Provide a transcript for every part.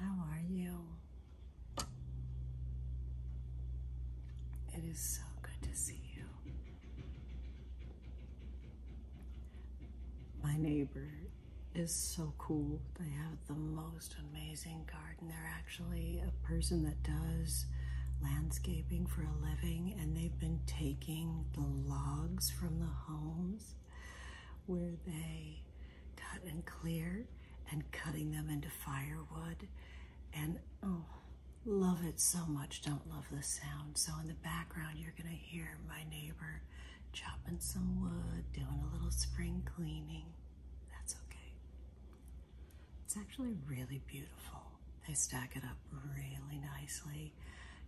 how are you? It is so good to see you. My neighbor is so cool. They have the most amazing garden. They're actually a person that does landscaping for a living and they've been taking the logs from the homes where they cut and clear and cutting them into firewood. And oh, love it so much. Don't love the sound. So in the background, you're going to hear my neighbor chopping some wood, doing a little spring cleaning. That's okay. It's actually really beautiful. They stack it up really nicely,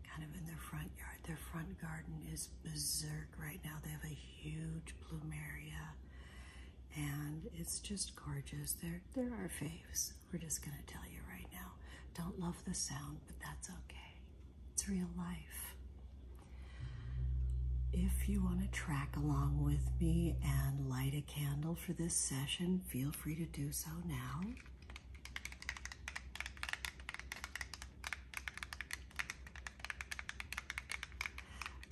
kind of in their front yard. Their front garden is berserk right now. They have a huge plumeria, and it's just gorgeous. They're, they're our faves. We're just going to tell you right now. Don't love the sound, but that's okay. It's real life. If you want to track along with me and light a candle for this session, feel free to do so now.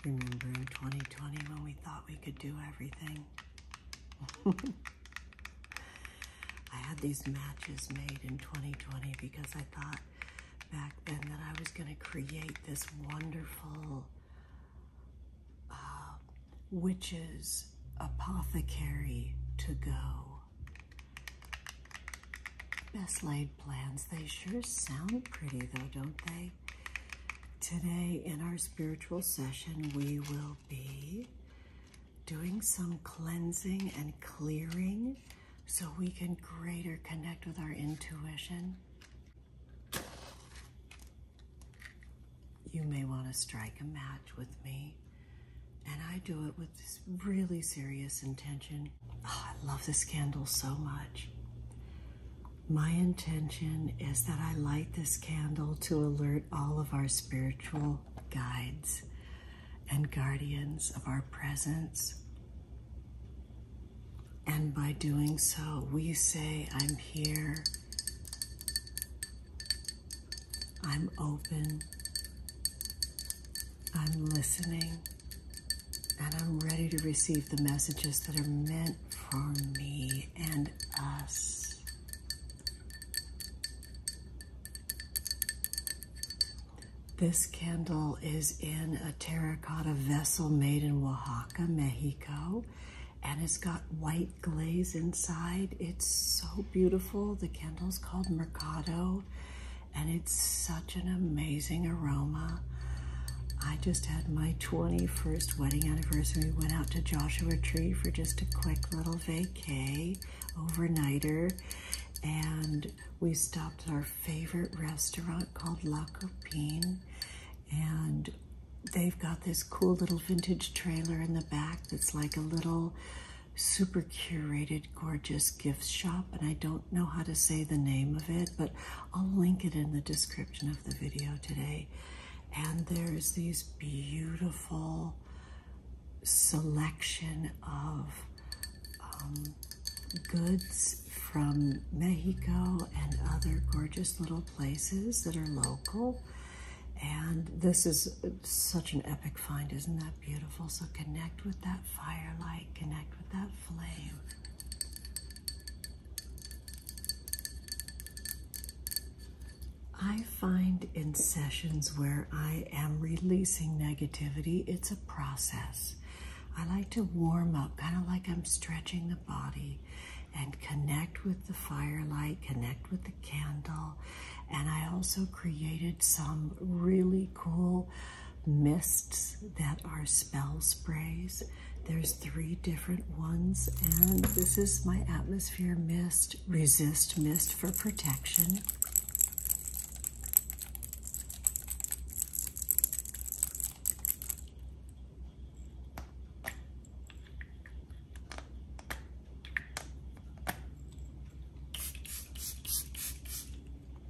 Remember 2020 when we thought we could do everything? I had these matches made in 2020 because I thought back then that I was going to create this wonderful uh, witches apothecary to go. Best laid plans. They sure sound pretty, though, don't they? Today, in our spiritual session, we will be doing some cleansing and clearing so we can greater connect with our intuition. You may want to strike a match with me, and I do it with this really serious intention Oh, I love this candle so much. My intention is that I light this candle to alert all of our spiritual guides and guardians of our presence. And by doing so, we say, I'm here, I'm open, I'm listening. And I'm ready to receive the messages that are meant for me and us. This candle is in a terracotta vessel made in Oaxaca, Mexico, and it's got white glaze inside. It's so beautiful. The candle's called Mercado, and it's such an amazing aroma. I just had my 21st wedding anniversary. Went out to Joshua Tree for just a quick little vacay, overnighter, and we stopped at our favorite restaurant called La Copine, and they've got this cool little vintage trailer in the back that's like a little super curated, gorgeous gift shop, and I don't know how to say the name of it, but I'll link it in the description of the video today. And there's these beautiful selection of um, goods from Mexico and other gorgeous little places that are local. And this is such an epic find, isn't that beautiful? So connect with that firelight connect with that flame. I find in sessions where I am releasing negativity, it's a process. I like to warm up, kind of like I'm stretching the body, and connect with the firelight, connect with the candle. And I also created some really cool mists that are spell sprays. There's three different ones, and this is my atmosphere mist, resist mist for protection.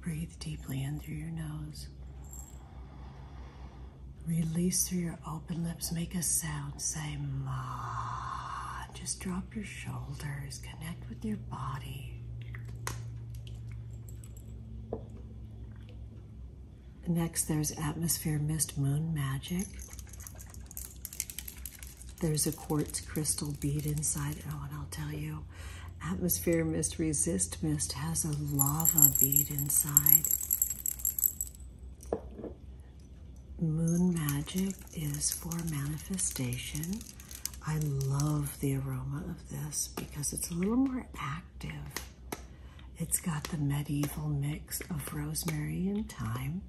Breathe deeply in through your nose. Release through your open lips. Make a sound. Say ma. Just drop your shoulders. Connect with your body. Next, there's Atmosphere Mist Moon Magic. There's a quartz crystal bead inside. Oh, and I'll tell you, Atmosphere Mist Resist Mist has a lava bead inside. Moon Magic is for manifestation. I love the aroma of this because it's a little more active. It's got the medieval mix of rosemary and thyme.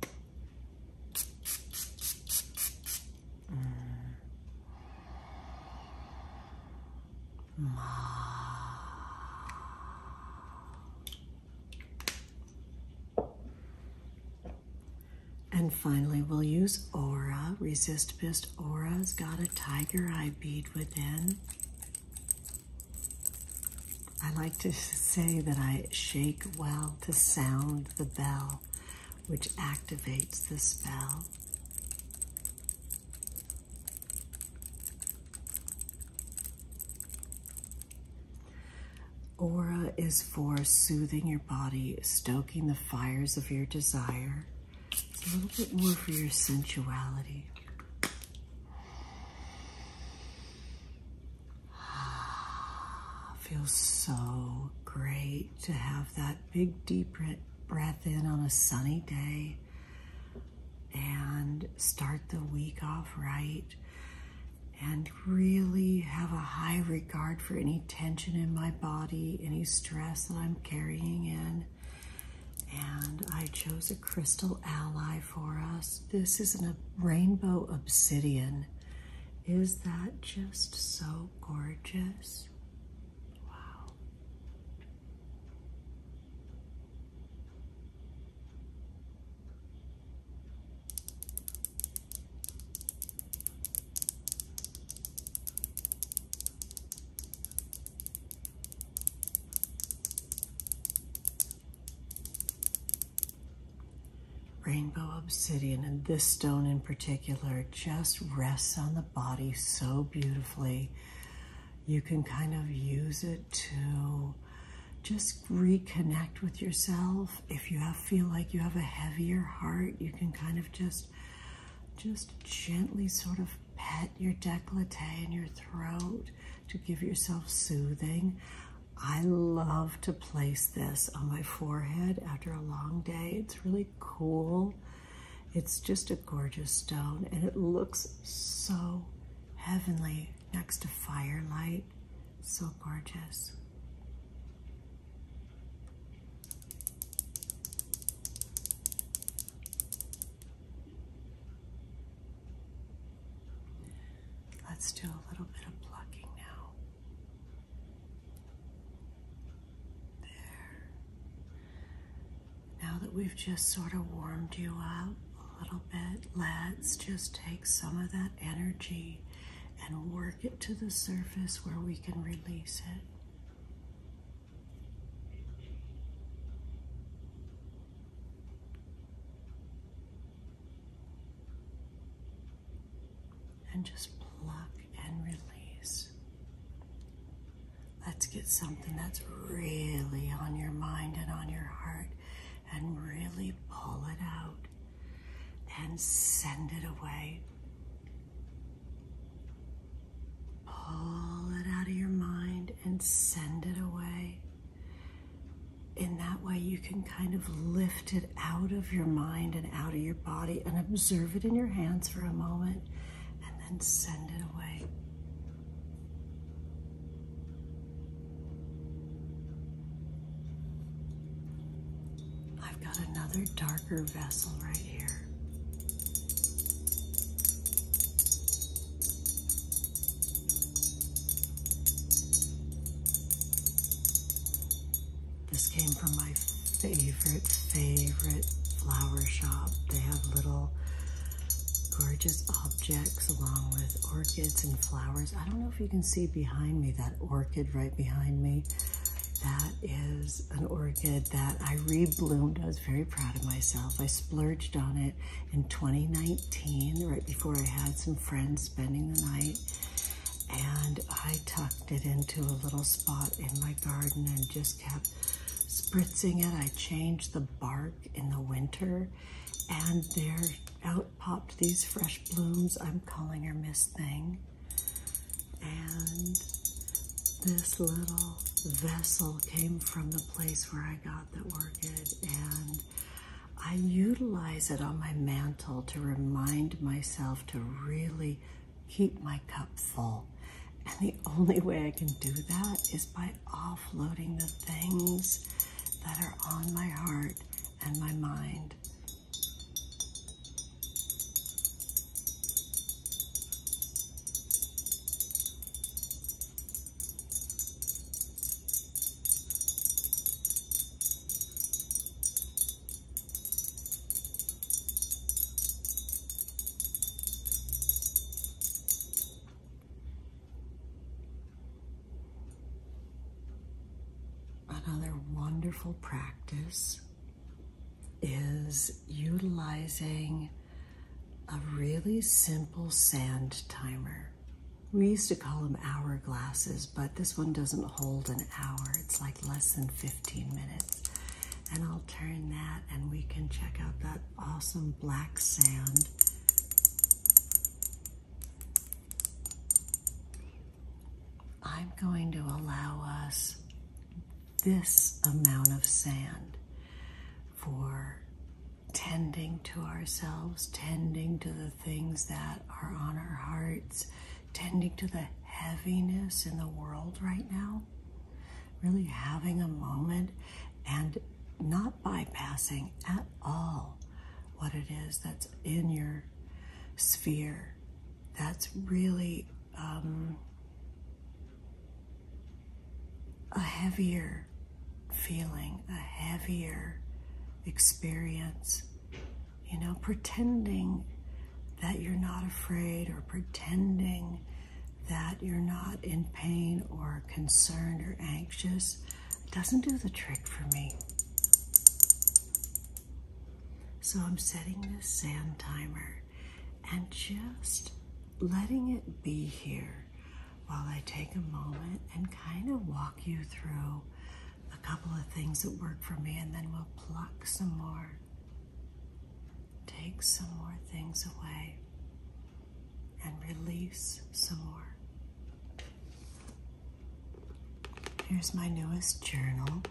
And finally, we'll use Aura. Resist Mist Aura's got a tiger eye bead within. I like to say that I shake well to sound the bell which activates the spell. Aura is for soothing your body, stoking the fires of your desire. a little bit more for your sensuality. Ah, feels so great to have that big deep breath in on a sunny day and start the week off right and really have a high regard for any tension in my body, any stress that I'm carrying in. And I chose a crystal ally for us. This is a rainbow obsidian. Is that just so gorgeous? eyes. Wow rainbow obsidian and this stone in particular just rests on the body so beautifully. You can kind of use it to just reconnect with yourself. If you feel like you have a heavier heart, you can kind of just just gently sort of pet your décolleté and your throat to give yourself soothing. I love to place this on my forehead after a long day. It's really cool. It's just a gorgeous stone and it looks so heavenly next to firelight. So gorgeous. Let's do a little bit of plucking now. Now that we've just sort of warmed you up a little bit, let's just take some of that energy and work it to the surface where we can release it and just pluck and release. Let's get something that's really on your mind and on your heart and really pull it out and send it away. Pull it out of your mind and send it away. In that way, you can kind of lift it out of your mind and out of your body and observe it in your hands for a moment and then send it away. I've got another darker vessel right here. This came from my favorite, favorite flower shop. They have little gorgeous objects along with orchids and flowers. I don't know if you can see behind me that orchid right behind me. That is an orchid that I rebloomed. I was very proud of myself. I splurged on it in 2019, right before I had some friends spending the night and I tucked it into a little spot in my garden and just kept spritzing it. I changed the bark in the winter and there out popped these fresh blooms. I'm calling her Miss Thing. And this little vessel came from the place where I got the orchid and I utilize it on my mantle to remind myself to really keep my cup full. And the only way I can do that is by offloading the things that are on my heart and my mind. Another wonderful practice is utilizing a really simple sand timer. We used to call them hourglasses, but this one doesn't hold an hour. It's like less than 15 minutes. And I'll turn that and we can check out that awesome black sand. I'm going to allow us this amount of sand for tending to ourselves, tending to the things that are on our hearts, tending to the heaviness in the world right now, really having a moment and not bypassing at all what it is that's in your sphere. That's really um, a heavier feeling, a heavier experience you know, pretending that you're not afraid or pretending that you're not in pain or concerned or anxious doesn't do the trick for me. So I'm setting this sand timer and just letting it be here while I take a moment and kind of walk you through a couple of things that work for me, and then we'll pluck some more. Take some more things away and release some more. Here's my newest journal,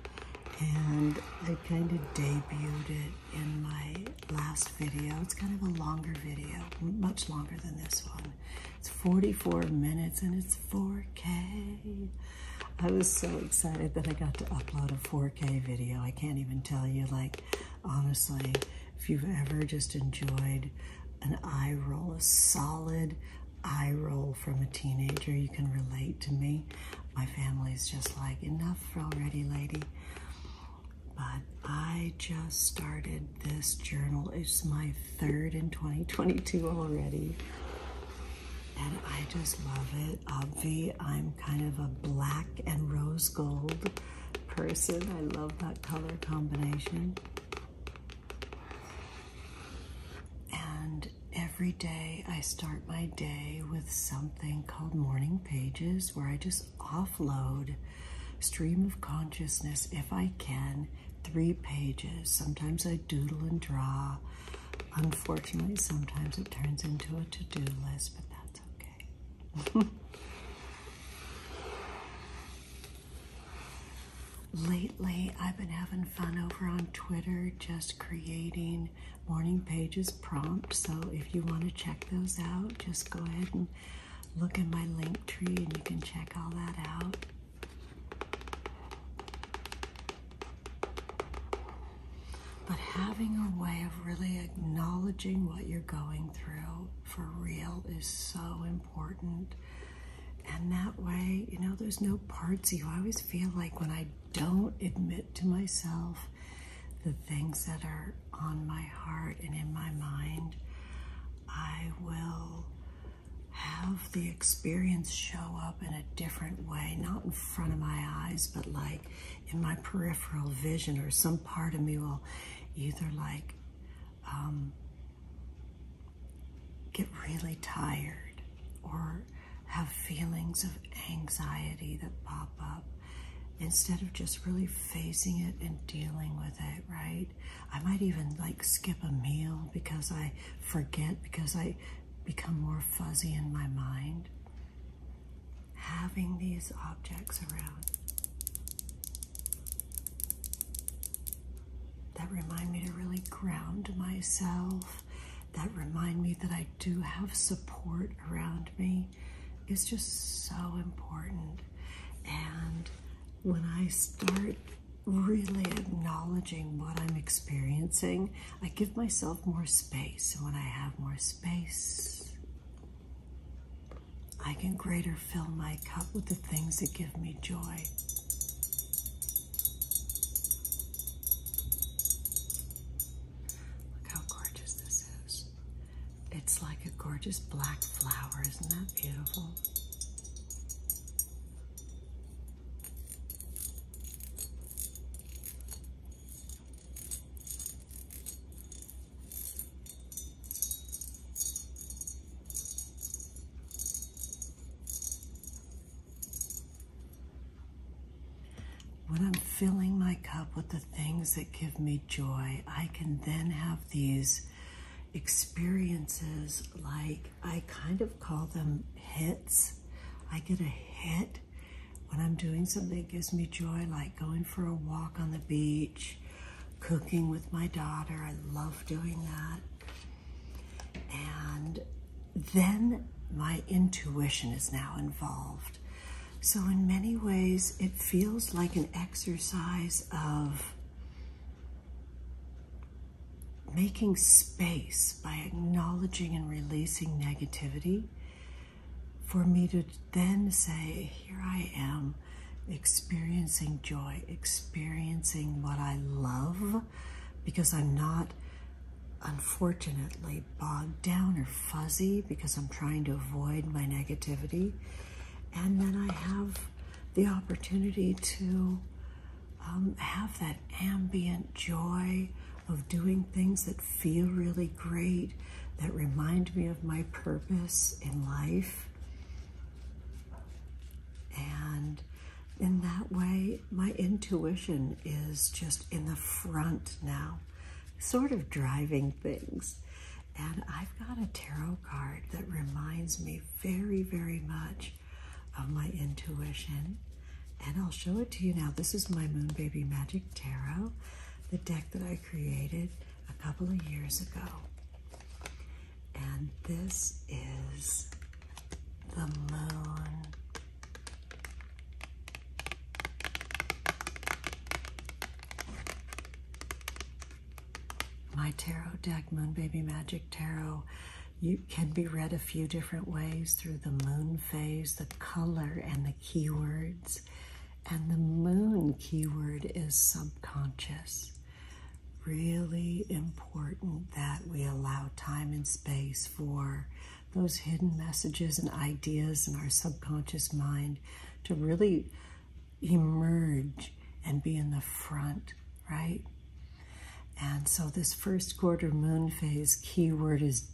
and I kind of debuted it in my last video. It's kind of a longer video, much longer than this one. It's 44 minutes and it's 4K. I was so excited that I got to upload a 4K video. I can't even tell you, like, honestly, if you've ever just enjoyed an eye roll, a solid eye roll from a teenager, you can relate to me. My family's just like, enough already, lady. But I just started this journal. It's my third in 2022 already. And I just love it. Obvi, I'm kind of a black and rose gold person. I love that color combination. And every day I start my day with something called Morning Pages where I just offload stream of consciousness if I can three pages. Sometimes I doodle and draw. Unfortunately, sometimes it turns into a to do list, but that's okay. Lately, I've been having fun over on Twitter just creating morning pages prompts. So, if you want to check those out, just go ahead and look in my link tree and you can check all that out. But having a way of really acknowledging what you're going through for real is so important. And that way, you know, there's no parts you. I always feel like when I don't admit to myself the things that are on my heart and in my mind, I will have the experience show up in a different way, not in front of my eyes, but like in my peripheral vision, or some part of me will either like um, get really tired or have feelings of anxiety that pop up instead of just really facing it and dealing with it, right? I might even like skip a meal because I forget because I become more fuzzy in my mind, having these objects around that remind me to really ground myself, that remind me that I do have support around me is just so important. And when I start really acknowledging what I'm experiencing, I give myself more space. And when I have more space, I can greater fill my cup with the things that give me joy. Look how gorgeous this is. It's like a gorgeous black flower. Isn't that beautiful? When I'm filling my cup with the things that give me joy, I can then have these experiences like I kind of call them hits. I get a hit when I'm doing something that gives me joy, like going for a walk on the beach, cooking with my daughter. I love doing that. And then my intuition is now involved. So, in many ways, it feels like an exercise of making space by acknowledging and releasing negativity for me to then say, Here I am experiencing joy, experiencing what I love, because I'm not unfortunately bogged down or fuzzy because I'm trying to avoid my negativity. And then I have the opportunity to um, have that ambient joy of doing things that feel really great, that remind me of my purpose in life. And in that way, my intuition is just in the front now, sort of driving things. And I've got a tarot card that reminds me very, very much of my intuition. And I'll show it to you now. This is my Moon Baby Magic Tarot, the deck that I created a couple of years ago. And this is the moon. My tarot deck, Moon Baby Magic Tarot, you can be read a few different ways through the moon phase, the color, and the keywords. And the moon keyword is subconscious. Really important that we allow time and space for those hidden messages and ideas in our subconscious mind to really emerge and be in the front, right? And so, this first quarter moon phase keyword is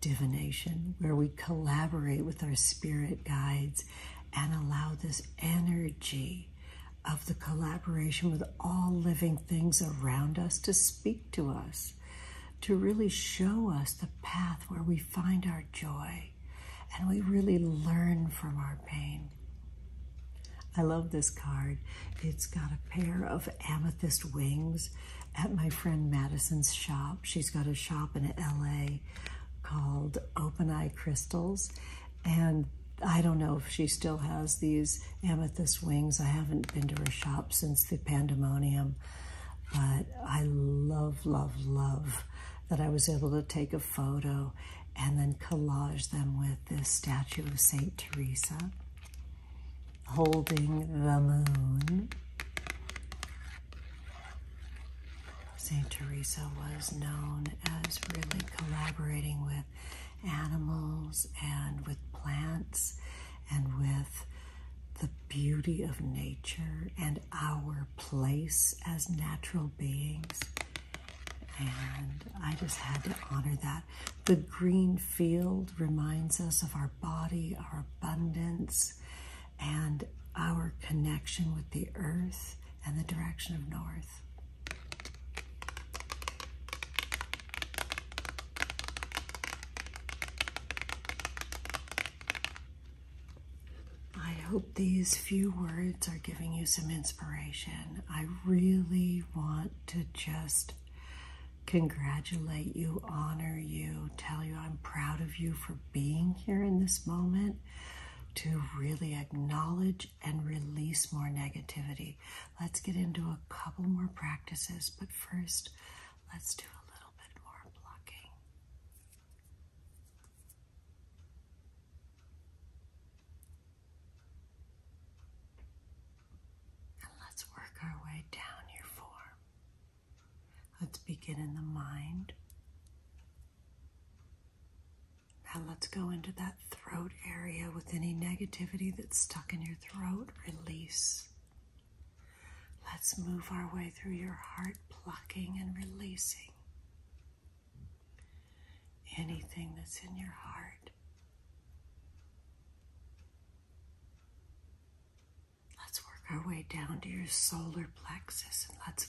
divination, where we collaborate with our spirit guides and allow this energy of the collaboration with all living things around us to speak to us, to really show us the path where we find our joy and we really learn from our pain. I love this card. It's got a pair of amethyst wings at my friend Madison's shop. She's got a shop in LA called Open Eye Crystals. And I don't know if she still has these amethyst wings. I haven't been to her shop since the pandemonium, but I love, love, love that I was able to take a photo and then collage them with this statue of St. Teresa holding the moon. St. Teresa was known as really collaborating with animals and with plants and with the beauty of nature and our place as natural beings. And I just had to honor that. The green field reminds us of our body, our abundance, and our connection with the earth and the direction of north. I hope these few words are giving you some inspiration I really want to just congratulate you, honor you, tell you I'm proud of you for being here in this moment, to really acknowledge and release more negativity. Let's get into a couple more practices, but first, let's do a little bit more blocking. And let's work our way down your form. Let's begin in the mind. Now let's go into that throat area with any negativity that's stuck in your throat. Release. Let's move our way through your heart, plucking and releasing anything that's in your heart. Let's work our way down to your solar plexus and let's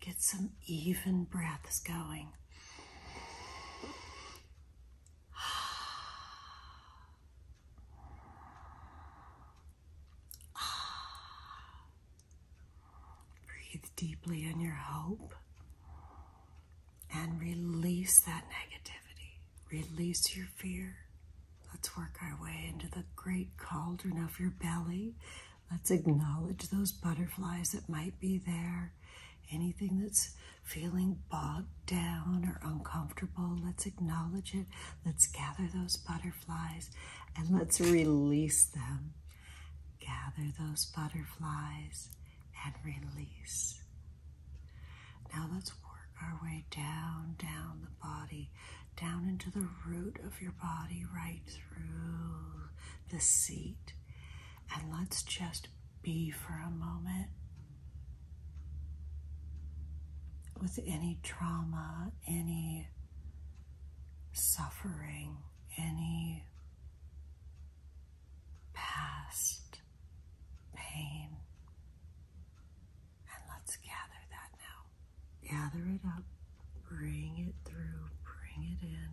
get some even breaths going. Breathe deeply in your hope and release that negativity. Release your fear. Let's work our way into the great cauldron of your belly. Let's acknowledge those butterflies that might be there. Anything that's feeling bogged down or uncomfortable, let's acknowledge it. Let's gather those butterflies and let's release them. Gather those butterflies and release. Now let's work our way down, down the body, down into the root of your body, right through the seat. And let's just be for a moment with any trauma, any suffering, any past pain. And let's gather that now. Gather it up, bring it through, bring it in,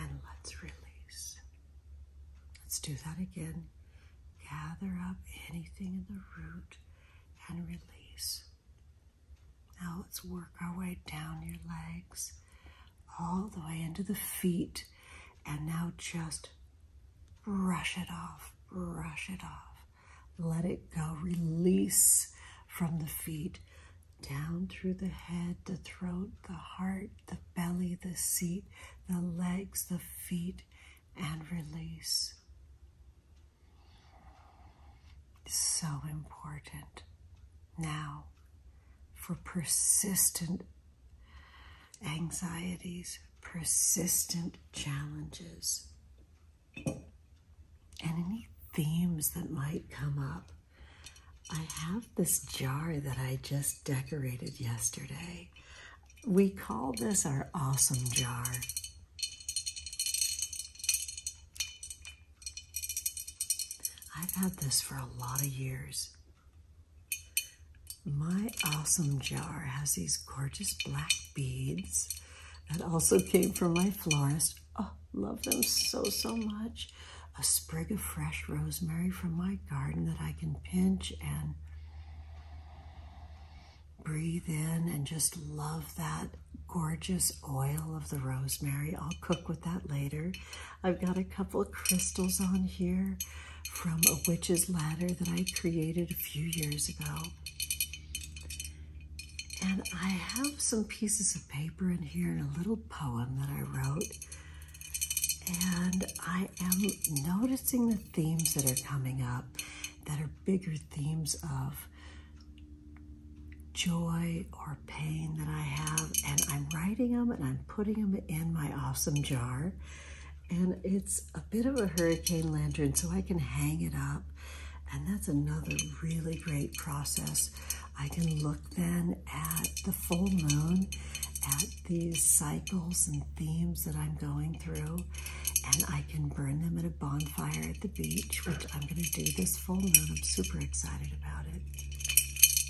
and let's release. Let's do that again. Gather up anything in the root and release. Now let's work our way down your legs all the way into the feet. And now just brush it off, brush it off. Let it go. Release from the feet down through the head, the throat, the heart, the belly, the seat, the legs, the feet, and release. So important. Now, for persistent anxieties, persistent challenges, and any themes that might come up. I have this jar that I just decorated yesterday. We call this our awesome jar. I've had this for a lot of years. My awesome jar has these gorgeous black beads that also came from my florist. Oh, love them so, so much. A sprig of fresh rosemary from my garden that I can pinch and breathe in and just love that gorgeous oil of the rosemary. I'll cook with that later. I've got a couple of crystals on here from a witch's ladder that I created a few years ago. And I have some pieces of paper in here and a little poem that I wrote. And I am noticing the themes that are coming up that are bigger themes of joy or pain that I have, and I'm writing them and I'm putting them in my awesome jar. And it's a bit of a hurricane lantern, so I can hang it up. And that's another really great process. I can look then at the full moon, at these cycles and themes that I'm going through, and I can burn them at a bonfire at the beach, which I'm going to do this full moon. I'm super excited about it.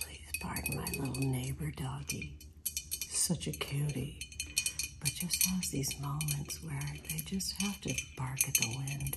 Please pardon my little neighbor doggy. Such a cutie but just has these moments where they just have to bark at the wind.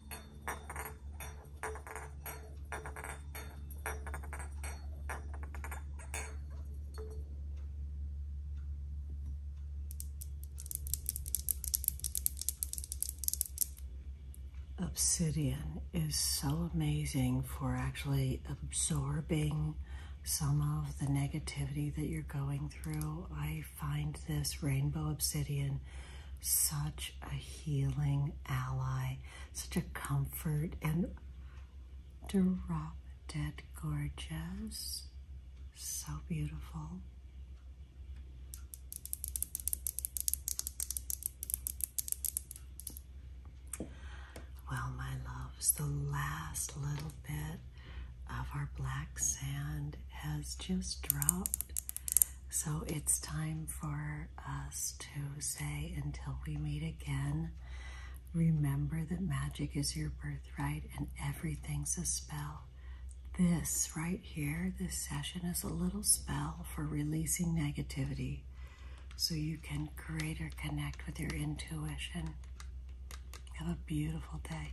Obsidian is so amazing for actually absorbing some of the negativity that you're going through. I find this rainbow obsidian such a healing ally, such a comfort and dead gorgeous. So beautiful. Well, my loves, the last little bit of our black sand has just dropped so it's time for us to say, until we meet again, remember that magic is your birthright and everything's a spell. This right here, this session is a little spell for releasing negativity so you can greater connect with your intuition. Have a beautiful day.